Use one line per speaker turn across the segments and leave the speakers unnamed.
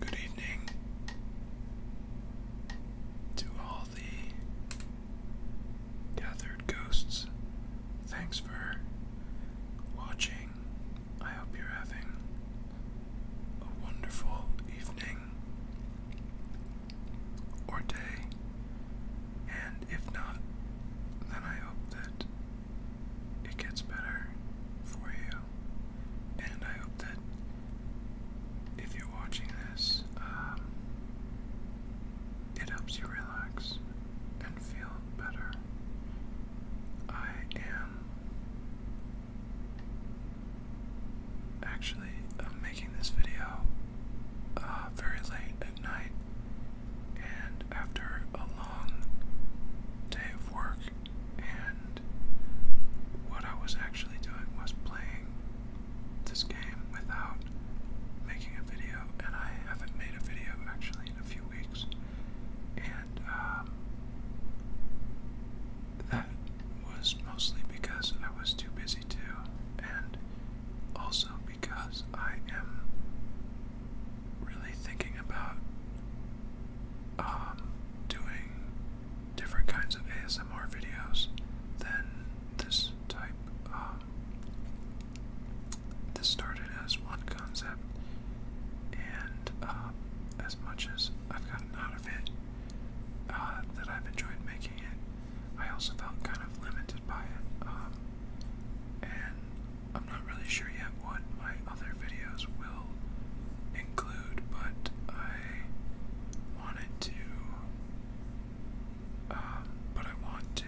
Good evening to all the gathered ghosts. Thanks for watching. I hope you're having a wonderful evening or day, and if not, then I hope that it gets better for you. And I hope that if you're watching this, um, it helps you relax and feel better. I am actually making this video uh, very late at night and after a long long day of work, and what I was actually doing was playing this game without making a video, and I haven't made a video actually in a few weeks, and um, that was mostly because I was too busy to, and also because I am really thinking about um, doing different kinds of ASMR videos Then this type. Um, this started as one concept, and um, as much as I've gotten out of it, uh, that I've enjoyed making it, I also felt kind of limited by it. Um, and I'm not really sure yet what my other videos will include, but I wanted to. Um, but I want to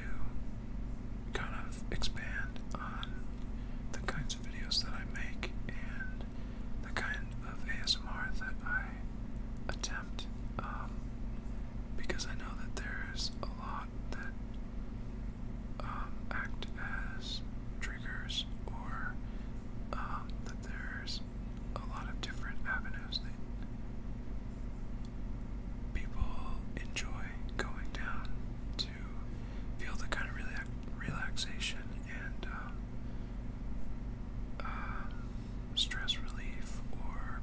kind of expand on the kinds of videos that I make and the kind of ASMR that I attempt um, because I know that there's a lot that um, act as triggers or um, that there's a lot of different avenues that people enjoy going down to feel the kind of relax relaxation and um, um, stress relief or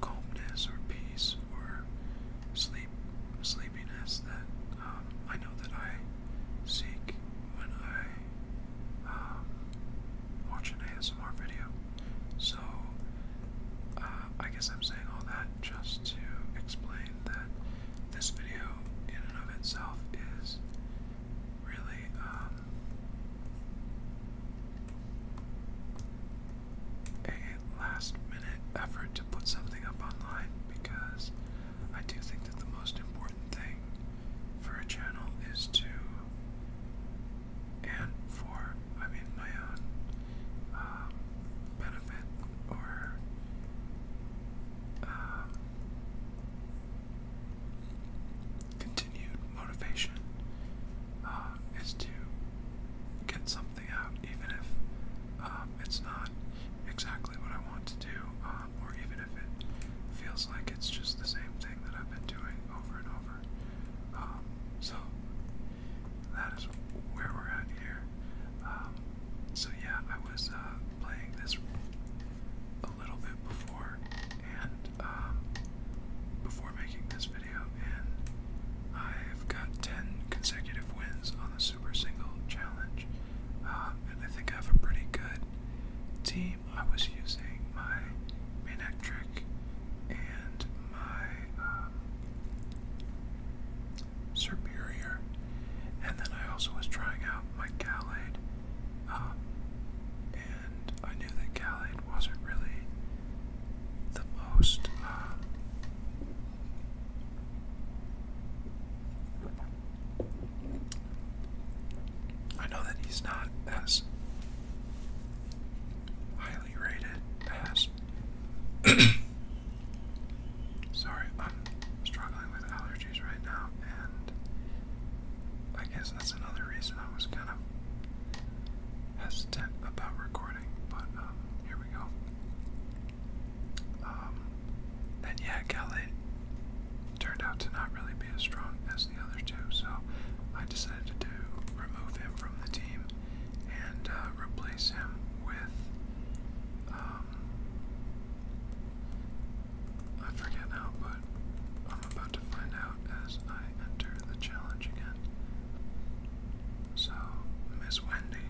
calmness or peace or sleep sleepiness that um, I know that I seek when I um, watch an ASMR video. So uh, I guess I'm saying all that just to explain that this video, in and of itself, is really. Um, a last minute effort to put something up online because I do think that the most important thing for a channel is to, and for, I mean, my own um, benefit or um, continued motivation, uh, is to get something out, even if um, it's not exactly what I want to do, um, or even if it feels like it's just the same thing that I've been doing over and over. Um, so that is where we're at here. Um, so yeah, I was uh, playing this a little bit before and um, before making this video, and I've got 10 consecutive wins on the Super Single Challenge, and uh, I think I have a pretty good team. I was using my Manek and my um, Superior, and then I also was trying out my Gallade, um, and I knew that Gallade wasn't really the most. Um, I know that he's not as highly rated as. Sorry, I'm struggling with allergies right now, and I guess that's another reason I was kind of hesitant about recording, but um, here we go. Um, and yeah, Calais turned out to not really be as strong as the other two, so I decided to remove him from the team and uh, replace him with. Um, I forget now, but I'm about to find out as I enter the challenge again. So, Miss Wendy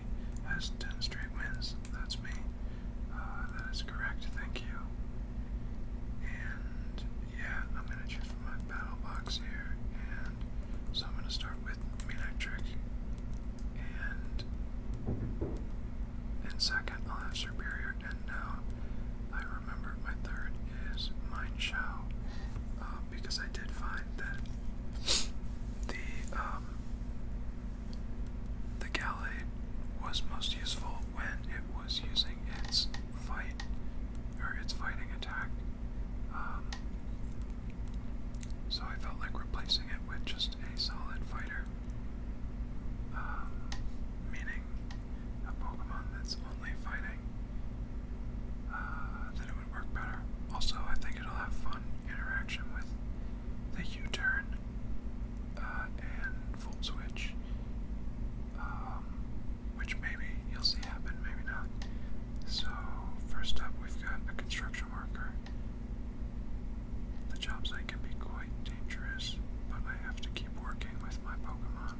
has 10 straight wins that's me. Uh, that is correct, thank you. And yeah, I'm gonna choose from my battle box here, and so I'm gonna start with Meanic Trick, and in second I'll have Superior, and now I remember my third is Mind Show. Uh, because I did find that the um, the gallade was most useful when it was using its fight or its fighting attack. Um, so I felt like replacing it with just a solid fighter, um, meaning a Pokemon that's only fighting. Uh, then it would work better. Also, I think it'll have fun interaction with the U-turn uh, and full Switch, um, which maybe you'll see happen, maybe not. So, first up, we've got a construction worker. The job site can be quite dangerous, but I have to keep working with my Pokemon.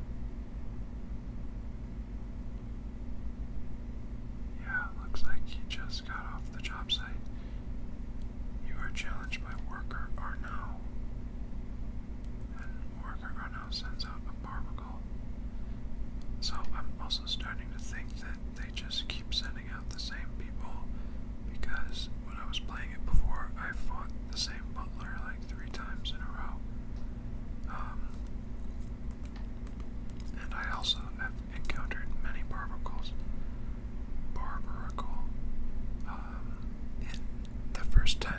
Yeah, looks like he just got off the job site. You are challenged by Worker Arnau. And Worker Arnau sends out a barbacle. So I'm also starting to think that they just keep sending out the same people because when I was playing it before, I fought the same butler like three times in a row. Um, and I also have encountered many barbaricals, barbarical um, in the first 10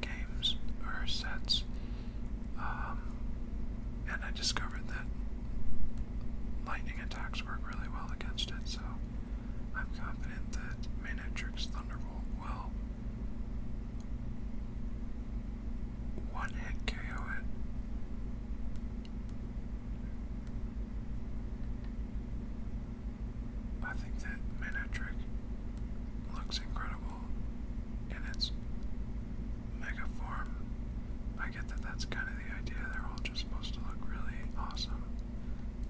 games or sets. Um, and I discovered that lightning attacks work really well against it, so I'm confident that Manatrix Thunderbolt will one hit KO it. I think that Manatrick looks incredible in its mega form. I get that that's kind of the idea, they're all just supposed to look really awesome.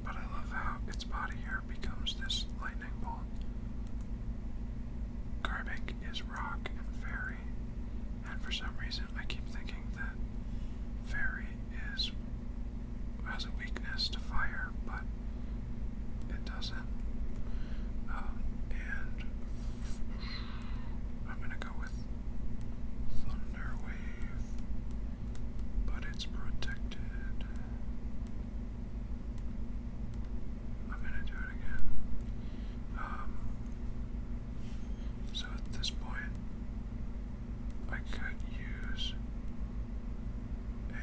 But I love how its body here becomes this lightning bolt. Karbic is rock and fairy. And for some reason, I keep thinking that fairy is has a weakness to fire, but it doesn't. Um, and I'm gonna go with thunder but it's protected. I'm gonna do it again. Um, so at this point, I could use a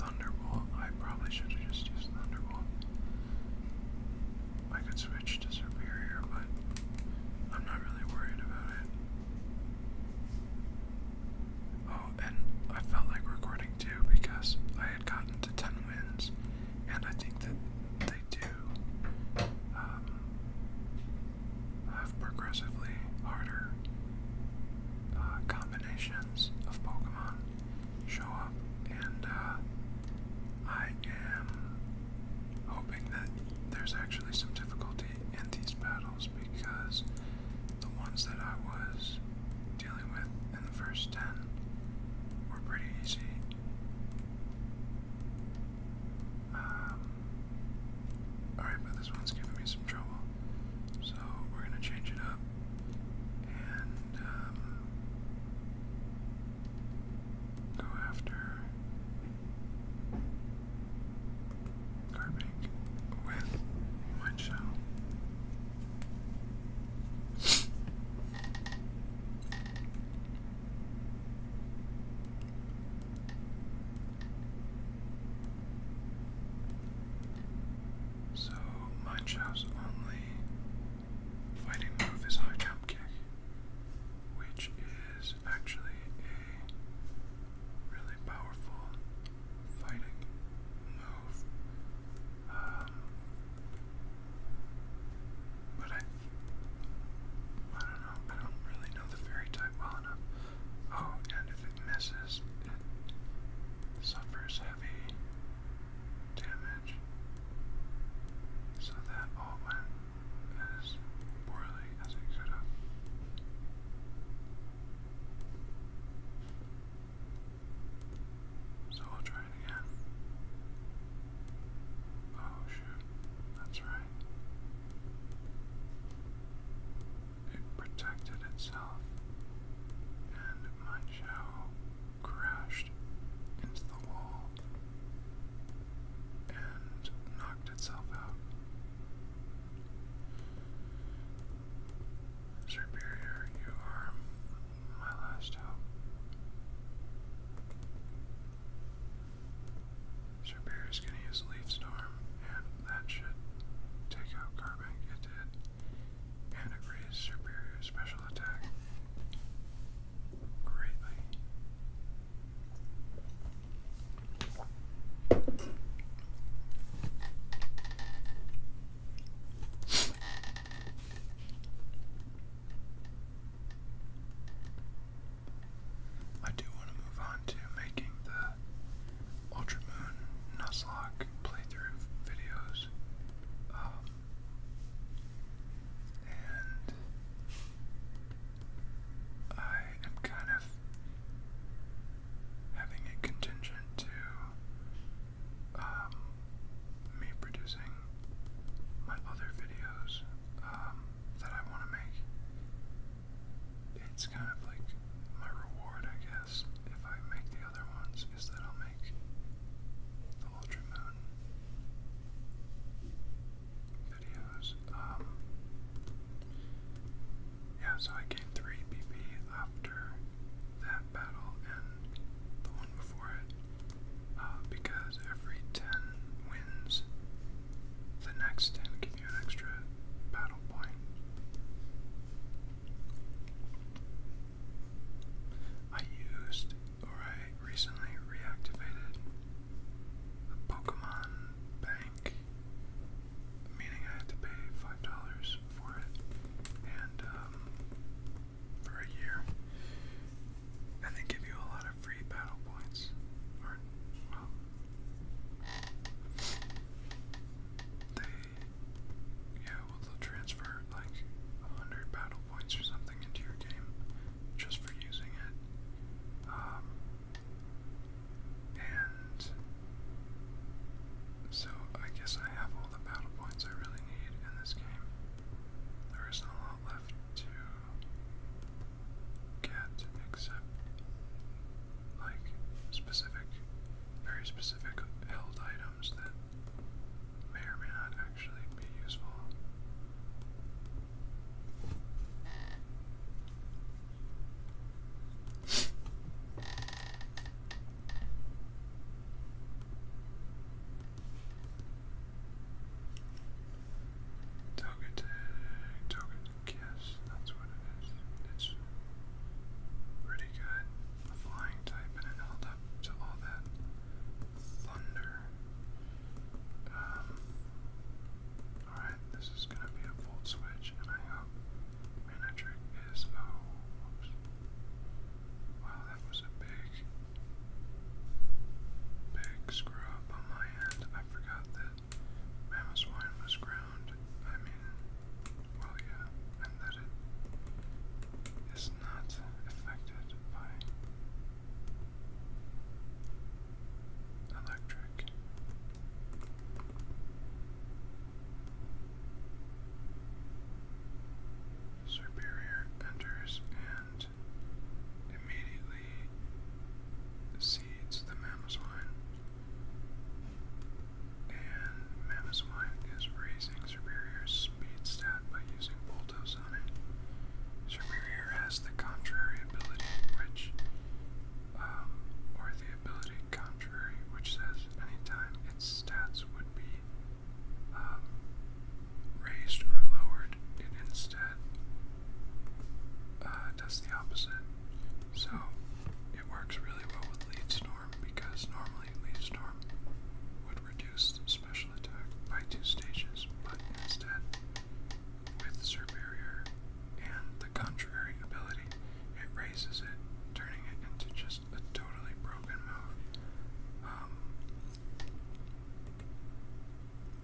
Thunderbolt. I probably should have just used Thunderbolt. I could switch to Superior, but I'm not really worried about it. Oh, and I felt like recording too because I had gotten to 10 wins, and I think that they do um, have progressively harder uh, combinations of Pokemon show up, and uh, I am hoping that there's actually some difficulty in these battles because the ones that I was dealing with in the first 10 were pretty easy um, Alright, but this one's giving me some trouble. So we're going to change it up. And um, go after carving with white so my only fighting move is high jump kick, which is actually a really powerful fighting move. Um, but I, I don't know. I don't really know the fairy type well enough. Oh, and if it misses, it suffers heavy damage. So that all went as poorly as it could have. So we'll try it again. Oh shoot, that's right. It protected itself, and my crashed into the wall and knocked itself out. Superior, you are my last hope. Sharpeer's gonna use Leaf Storm, and that should take out Carbink. It And it raised Sharpeer's special attack greatly. I do want to move on to making the Ultra Moon playthrough videos. Um, and I am kind of having it contingent to um, me producing my other videos um, that I want to make. It's kind of like my reward, I guess, if I make the other ones, is that I'll make the Ultra Moon videos. Um, yeah, so I gained 3 BP after that battle and the one before it. Uh, because every 10 wins, the next 10 give you an extra battle point. I used, or I recently reactivated the Pokemon Bank, meaning I had to pay $5 for it, and um, for a year, and they give you a lot of free battle points. Or, well, they, yeah, well, they transfer like a hundred battle points or something into your game just for using it. Um, and so I guess I have all the battle points I really need in this game. There isn't a lot left to get except like specific, very specific held items that may or may not actually be useful. Togetic, Togetic, yes, that's what it is. It's pretty good. A flying type, and it held up to all that thunder. Um, Alright, this is gonna be a bolt switch, and I hope Manatrick is. Oh, Wow, that was a big big screw up on my end. I forgot that Mammoth's wine was ground. I mean, well, yeah, and that it is not affected by electric. Superior enters and almost immediately seeds the Mammoth line, And Mammoth Swine is raising Superior's speed stat by using Bulldoze on it. Superior has the contrary ability, which, um, or the ability contrary, which says anytime its stats would be um, raised or lowered, it instead uh, does the opposite. So it works really well with lead storm because normally lead storm would reduce special attack by two stages, but instead with superior and the contrary ability, it raises it, turning it into just a totally broken move. Um,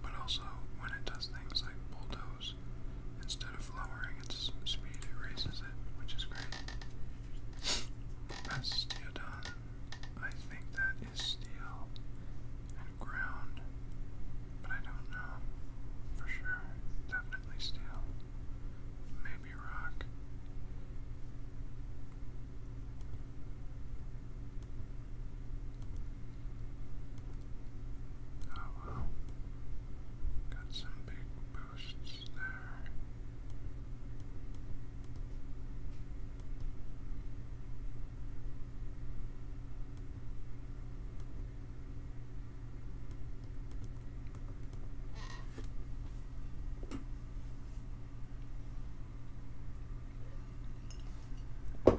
but also, when it does things like bulldoze, instead of lowering its speed, it raises it, which is great. Bastiodon. I think that is steel and ground, but I don't know for sure. Definitely steel. Maybe rock. Oh wow. Got some big boosts there. You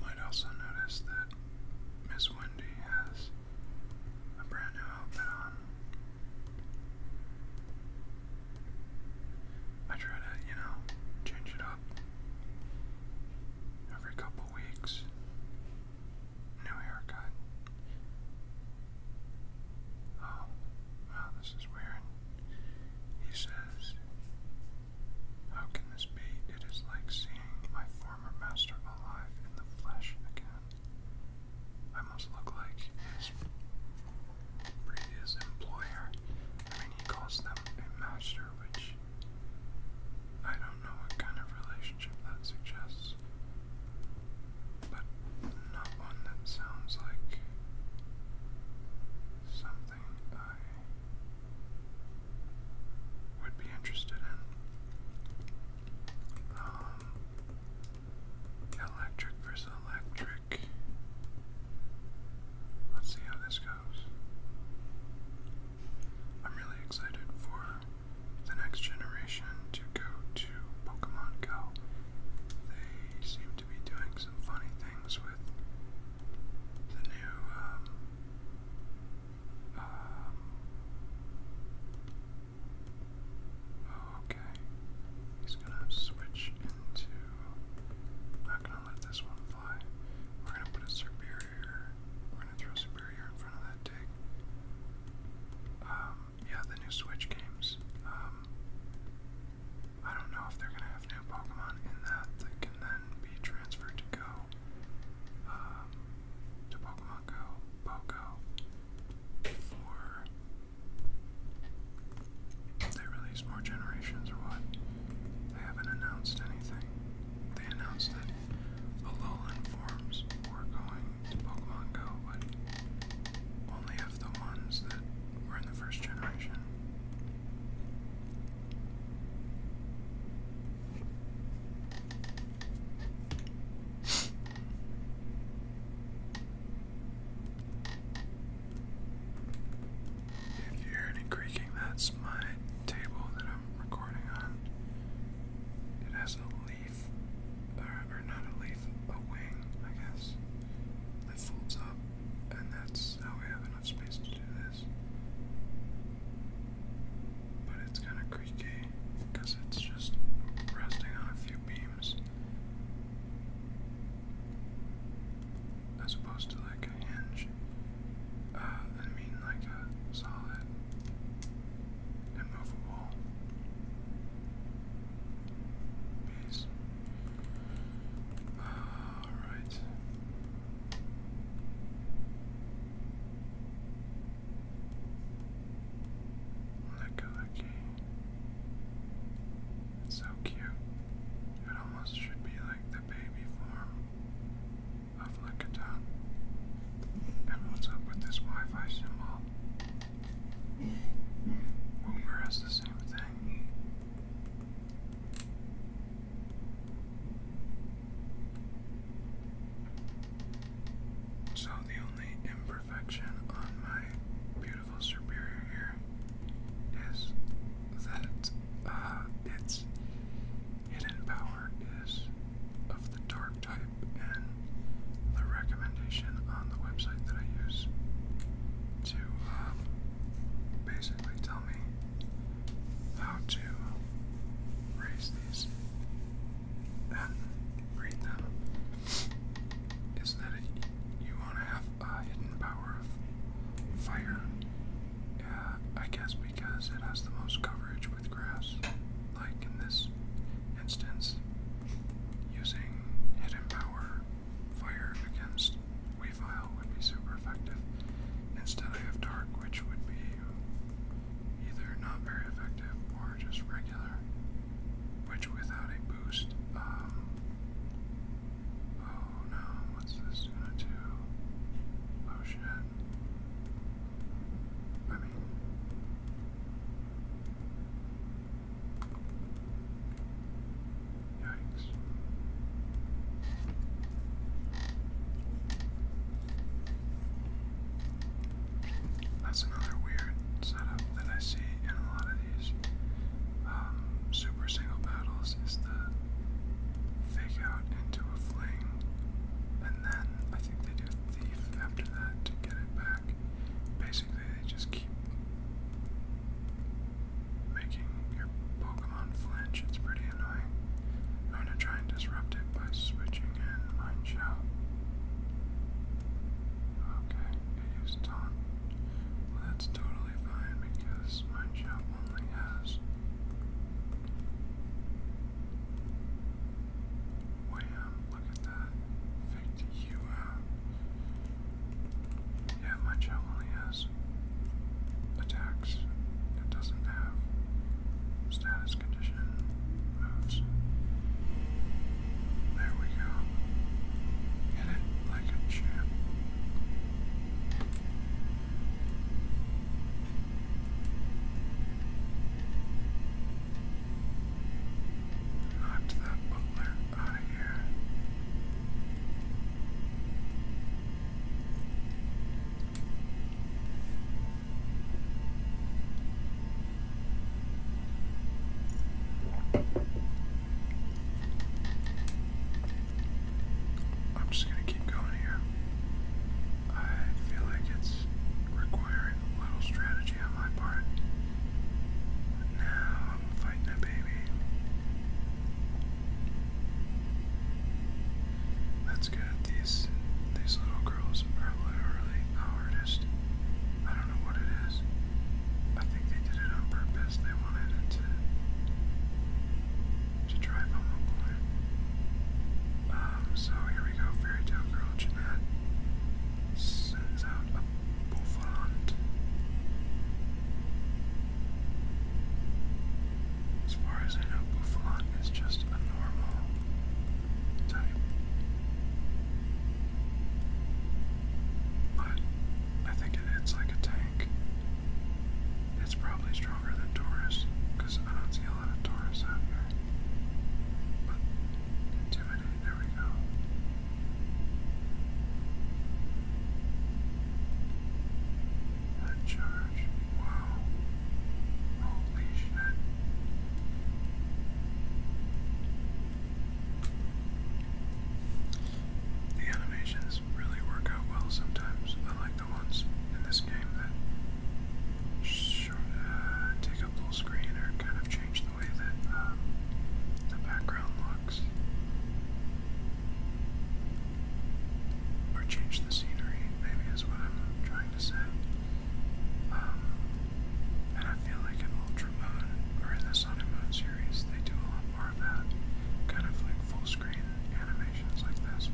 might also notice that Miss Wendy has a brand new outfit on. I try to, you know, change it up every couple weeks. New haircut. Oh, wow, this is weird. He says, How can this be? It is like seeing my former master alive in the flesh again. I must look like previous employer. I mean, he calls them a master, which I don't know what kind of relationship that suggests, but not one that sounds like something I would be interested in. Um, electric versus electric. Let's see how this goes. I'm really excited for the next generation to go to Pokemon Go. They seem to be doing some funny things with the new um, um, oh, okay. He's gonna switch into let this one fly. We're gonna put a superior. We're gonna throw superior in front of that dig. Um, yeah, the new Switch games. Um, I don't know if they're gonna have new Pokemon in that that can then be transferred to Go. Um, to Pokemon Go, Pogo, they release more generations or what? They haven't announced anything. They announced that the Alolan forms were going to Pokemon Go, but only of the ones that were in the first generation. If you hear any creaking, that's my table that I'm recording on. It has a leaf, or, not a leaf, a wing, I guess, that folds up, and that's how we have enough space to do this. But it's kind of creaky because it's just resting on a few beams as opposed to like a hinge. Uh, I mean, like a solid, immovable piece. All right. Licky, licky. so cute almost should be like the baby form of Lickitung. And what's up with this Wi-Fi symbol? Woomer has the same thing. So the only imperfection on my beautiful Superior here is that uh, its hidden power is of the dark type, and the recommendation on the website that I use to um, basically tell me how to raise these and breed them is that you want to have uh, hidden power of fire. Uh, I guess because it has the most coverage with grass, like in this instance, using hidden power fire against wave Isle would be super effective. Instead, I have dark, which would be either not very effective or just regular. Which, without a boost, um, Oh no, what's this gonna do? Oh shit. I mean. Yikes. That's another weird setup that I see in a lot of um, super single battles is the fake out into a fling, and then I think they do thief after that to get it back. Basically, they just keep making your Pokemon flinch. It's pretty annoying. I'm gonna try and disrupt it by switching in Mind Shout. Okay, it used Taunt. Well, that's totally totally fine because my job only has Wham, look at that. Faked you out. Yeah, my job only has attacks. It doesn't have status condition moves. There we go. Hit it like a champ. that butler out of here. I'm just going to keep going here. I feel like it's requiring a little strategy on my part. now I'm fighting a baby. That's good. These these little girls are literally the hardest. I don't know what it is. I think they did it on purpose wanted to, to drive home a point. Um, so here we go, Fairy Tale Girl Jeanette sends out a bouffant. As far as I know, bouffant is just a normal type. But I think it hits like a tank. It's probably stronger than Taurus, because I don't see a lot of Taurus out here. intimidate, there we go. That charge. Wow. Holy shit. The animations really work out well sometimes, I like the ones in this game that short, uh, take up full screen or kind of change the way that um, the background looks or change the scenery, maybe is what I'm trying to say. Um, and I feel like in Ultramon or in the Sun and Moon series, they do a lot more of that, kind of like full screen screen animations like this.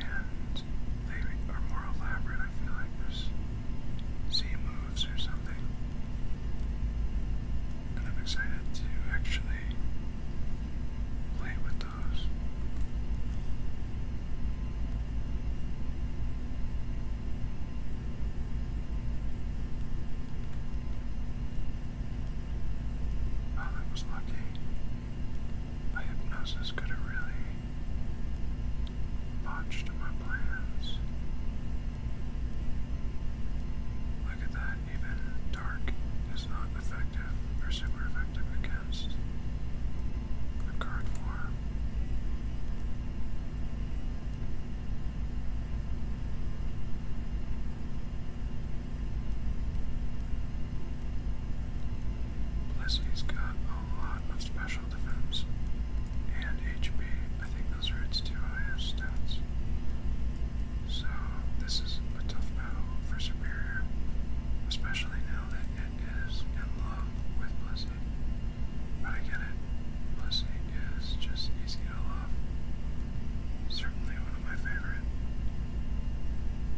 And they are more elaborate, I feel like there's Z moves or something. And I'm excited to actually play with those. I oh, was lucky. hypnosis could have really botched my plans. Look at that, even dark is not effective or super effective against a card form. Blessy's got a lot of special defense and HP. I think those are its two highest stats. So this is a tough battle for Superior, especially now that it is in love with Blessy. But I get it. Blessy is just easy to love. Certainly one of my favorite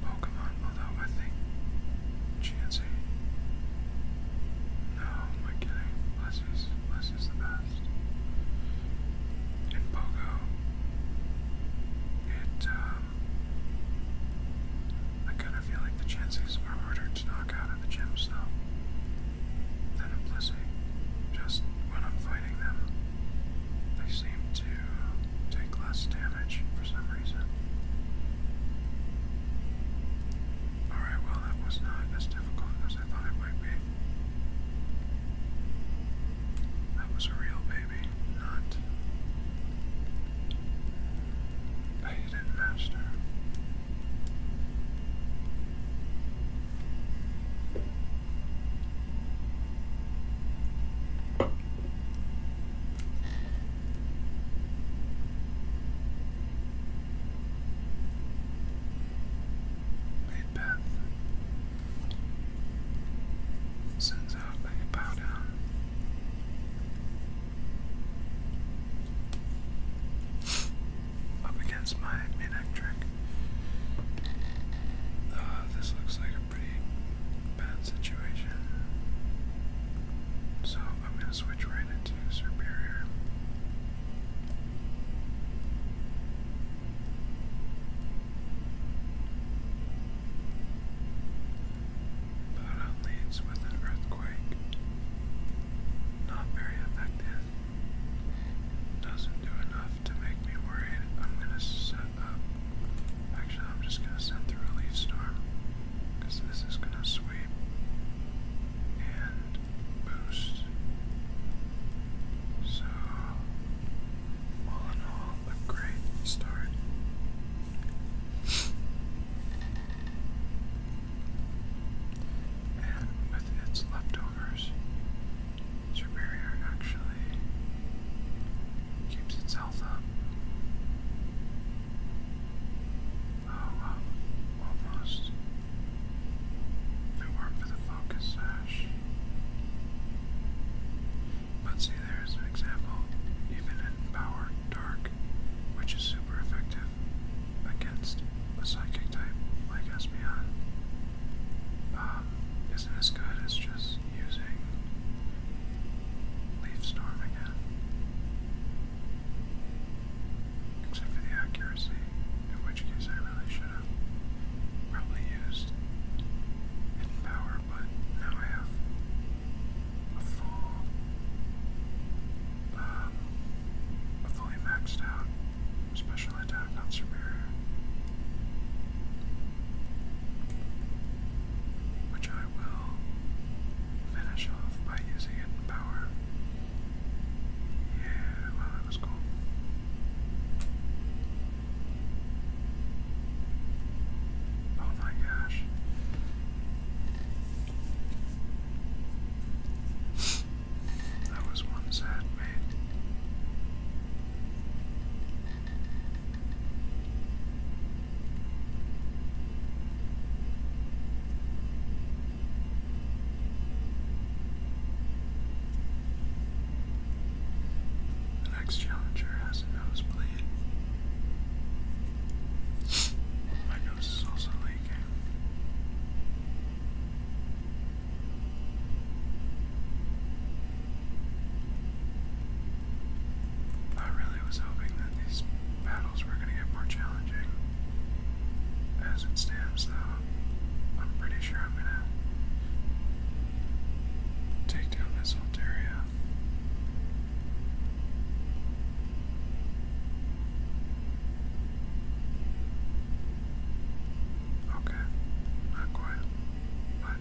Pokemon, although I think Chansey. No, am I kidding? Blessie's, Blessie's the best. In Pogo, it, um, I kind of feel like the Chanseys are harder to knock out of the gyms, though, than Blissey. Just when I'm fighting them, they seem to take less damage for some reason. Alright, well, that was not as difficult as I thought it might be. That was a real baby, not a hidden master. Macbeth sends out a bow down. Up against my electric uh, this looks like a pretty bad situation. So I'm going to switch right into Superior. Bada leads with an earthquake. Not very effective. Doesn't do enough to make me worried. I'm gonna set up. Actually, I'm just gonna send through a leaf storm because this is gonna sweep and boost. So, all in all, a great start. and with its leftovers, Superior actually keeps itself up. Oh almost. If it weren't for the focus sash. But see, there's an example, even in Power Dark, which is super effective against a psychic type like Espeon. Um, isn't as good as just using Leaf Storm again. Except for the accuracy, in which case I really should have probably used Hidden Power, but now I have a full, um, a fully maxed out special attack on Superior which I will finish off by using it power. Yeah, well, that was cool. Oh my gosh. That was one sad mate. The next challenger has a nosebleed. My nose is also leaking. I really was hoping that these battles were going to get more challenging. As it stands, though, I'm pretty sure I'm going to take down this Altaria. Okay, not quite but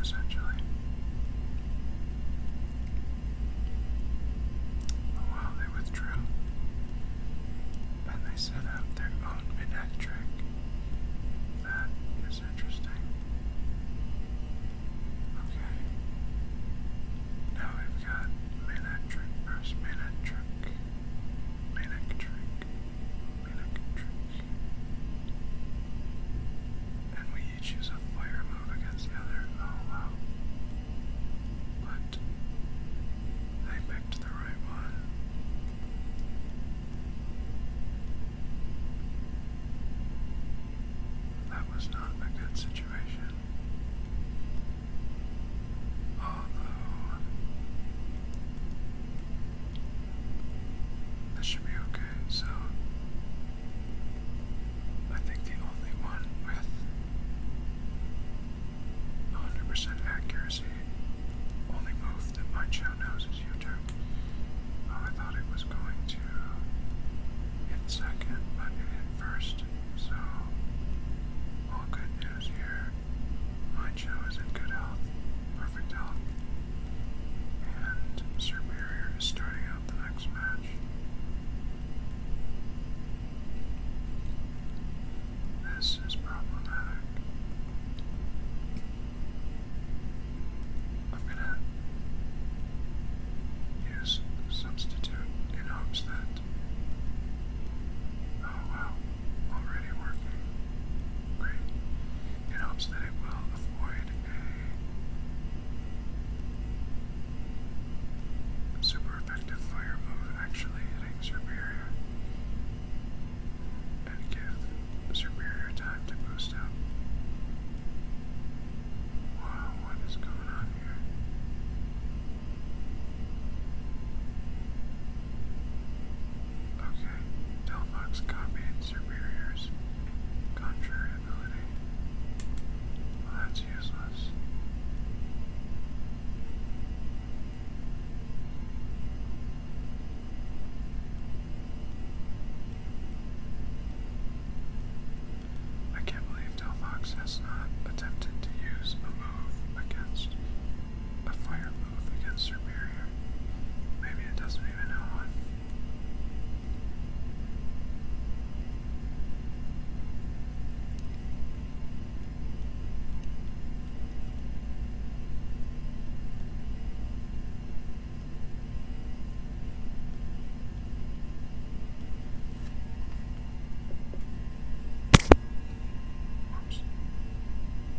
essentially. Oh they withdrew, and they set up their own midnight That is interesting. Okay. Now we've got Manic Trick versus Manic and we each use a fire move against the other. Oh wow. But I picked the right one. That was not a good situation. Although that should be okay. So I think the only one with 100% accuracy only move that my chow knows is YouTube. Oh, I thought it was going to hit second, but it hit first. So all good news here my Joe is in good health, perfect health, and Superior is starting out the next match. This is problematic. I'm gonna use substitute in hopes that. Oh wow, already working. Great. It hopes that it will avoid a super effective fire move actually hitting Superior and give Superior time to boost up. Wow, what is going on here? Okay, Delphox copied Superior's contrary that's useless. I can't believe Delphox has not attempted to use a move against a fire against her Maybe it doesn't even know one.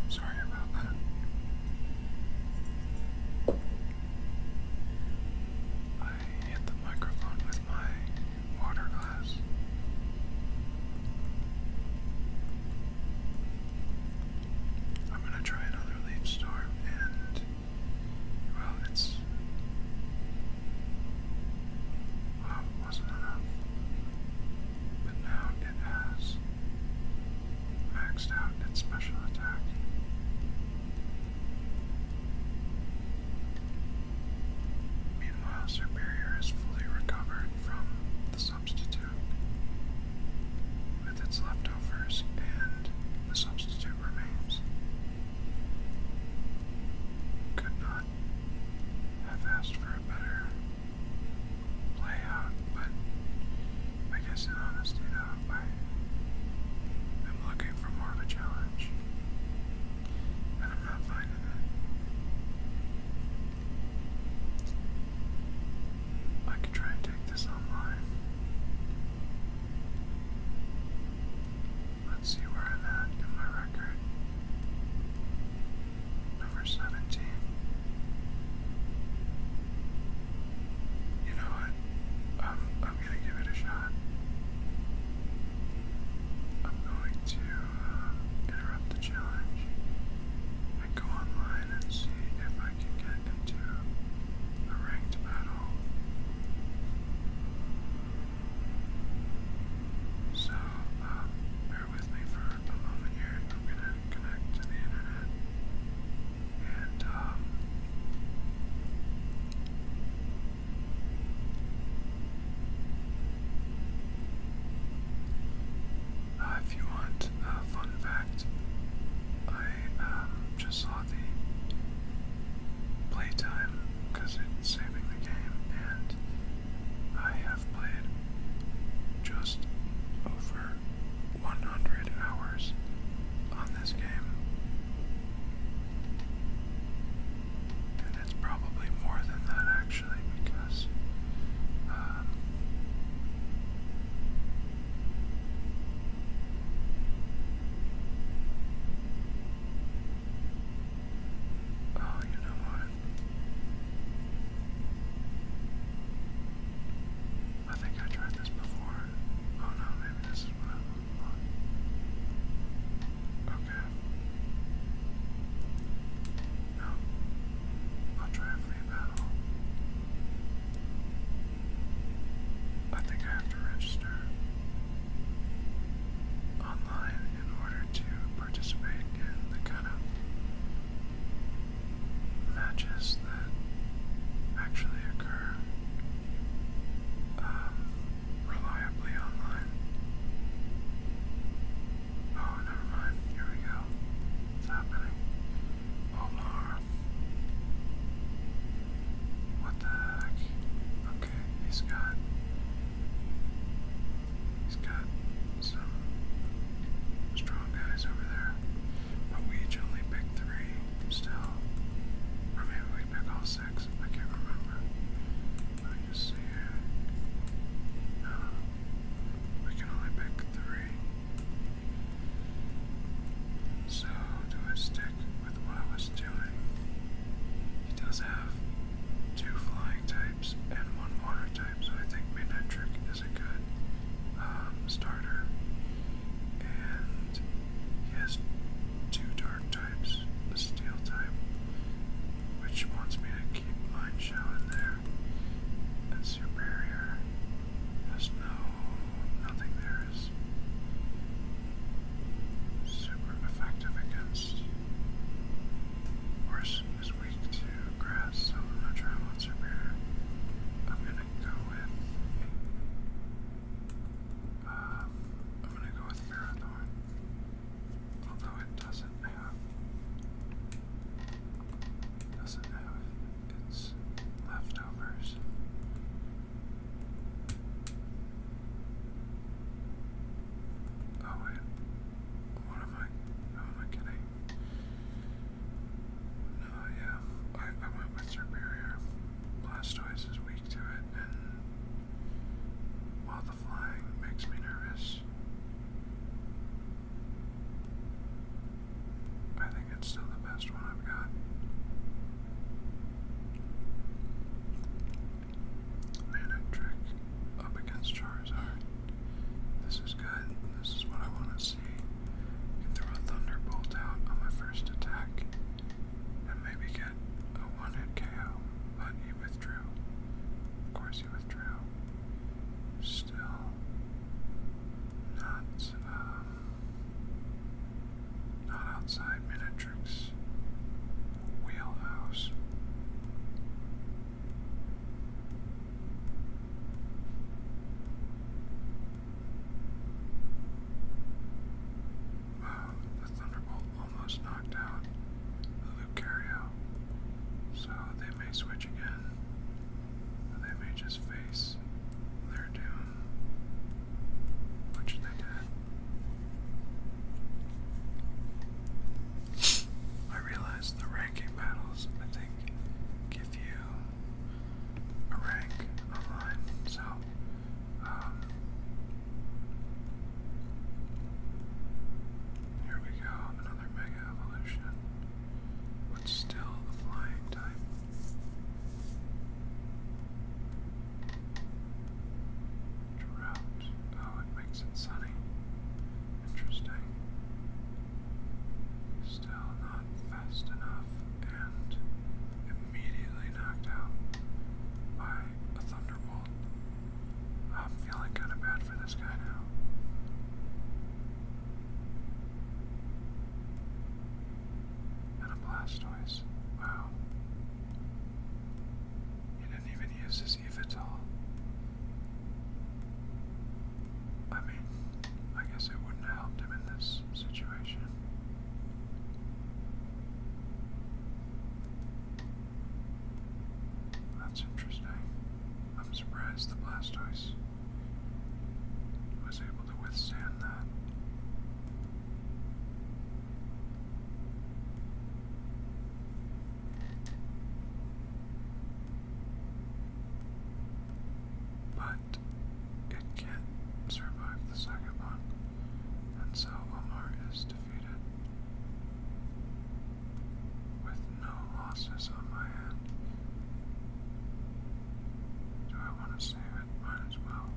Oops. Sorry about that. I hit the microphone with my water glass. I'm going to try another leaf storm and, well, it's. Well, it wasn't enough. But now it maxed out its special attack. Meanwhile, Superior is fully recovered from the substitute, with its leftovers, and the substitute remains. Could not have asked for a better play out, but I guess in honesty though, I am looking for more of a challenge. And I'm not finding it. I could try and take this online. Let's see where I'm at in my record. Number 17. You know what? Um, I'm gonna give it a shot. I'm going to uh, interrupt the challenge and go online and see if I can get into a ranked battle. So, uh, bear with me for at the moment here. I'm gonna connect to the internet and if you want a fun fact, I just saw the playtime because it's saving the game, and I have played just over 100 hours on this game. And it's probably more than that actually because uh, Oh, you know what? I think I tried this before. Oh no, maybe this is what I'm Okay. No. I'll try a free battle. I think I have to register online in order to participate in the kind of matches that actually occur um, reliably online. Oh, never mind. Here we go. It's happening. Oh, Laura. What the heck? Okay, he's got. He's got some strong guys over there. But we each only pick three still. Or we pick all six. I can't remember. Let just see No. Uh, we can only pick three. So, do I stick with what I was doing? He does have two flying types and one water type, so I think midnight trick is a good um, starter, and he has two dark types, the steel type, which wants me to keep Mind Shell in there, and Superior has no, nothing there is super effective against. Horse is weak to grass, so I'm not sure I want Superior. I'm gonna I'm gonna go with Marathorn. Although it doesn't have. doesn't have its leftovers. Oh wait. What am I? How am I kidding? Uh, yeah. I, went with Superior. Blastoise is weak to it, and while the flying makes me nervous, I think it's still the best one I've got. Manic Trick up against Charizard. This is good. This is what I want to defense and throw a Thunderbolt out on my first attack and maybe get a one hit KO, but he withdrew. Of course, he withdrew. Still not, um, not outside Minatrix wheelhouse. Wow, the Thunderbolt almost knocked out Lucario. So they may switch again. They may just face their doom. Which they did. I realize the ranking battles, I think, give you a rank online, so um, here we go, another mega evolution. But still the flying type. Drought. Oh, it makes it sunny. Interesting. Still not fast enough and immediately knocked out by a thunderbolt. I'm feeling kind of bad for this guy now. And a Blastoise. Wow. He didn't even use his Eevee I mean, I guess it wouldn't have helped him in this situation. That's interesting. I'm surprised the Blastoise was able to withstand that. But it can survive the second one, and so Omar is defeated. With no losses on my end. Do I want to save it? Might as well.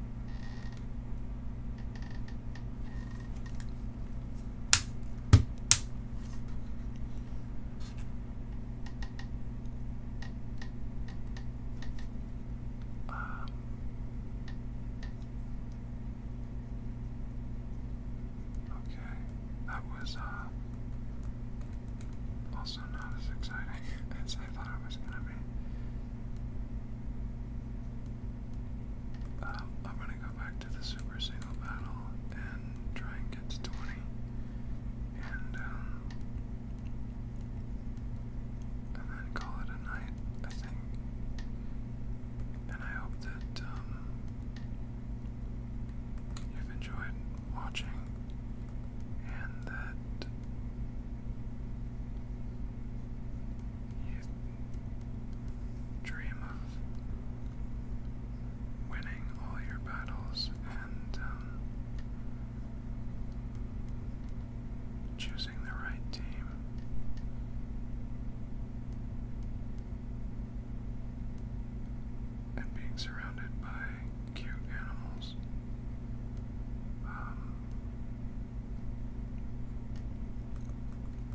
Um, okay, that was uh, also not as exciting as I thought it was going to be. Um, I'm going to go back to the super single battle and try and get to 20. And, um, and then call it a night, I think. And I hope that um, you've enjoyed watching and that you dream of winning all your battles and um, Choosing the right team. And being surrounded by cute animals. Um,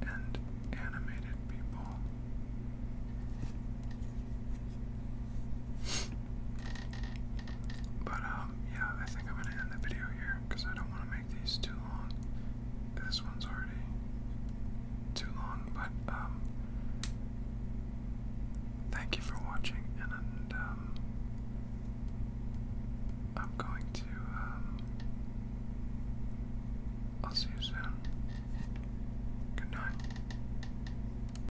and animated people. But, um, yeah, I think I'm gonna end the video here because I don't want to make these too long. This one's already too long, but, um, thank you for watching, and, um, I'm going to, um, I'll see you soon. Good night.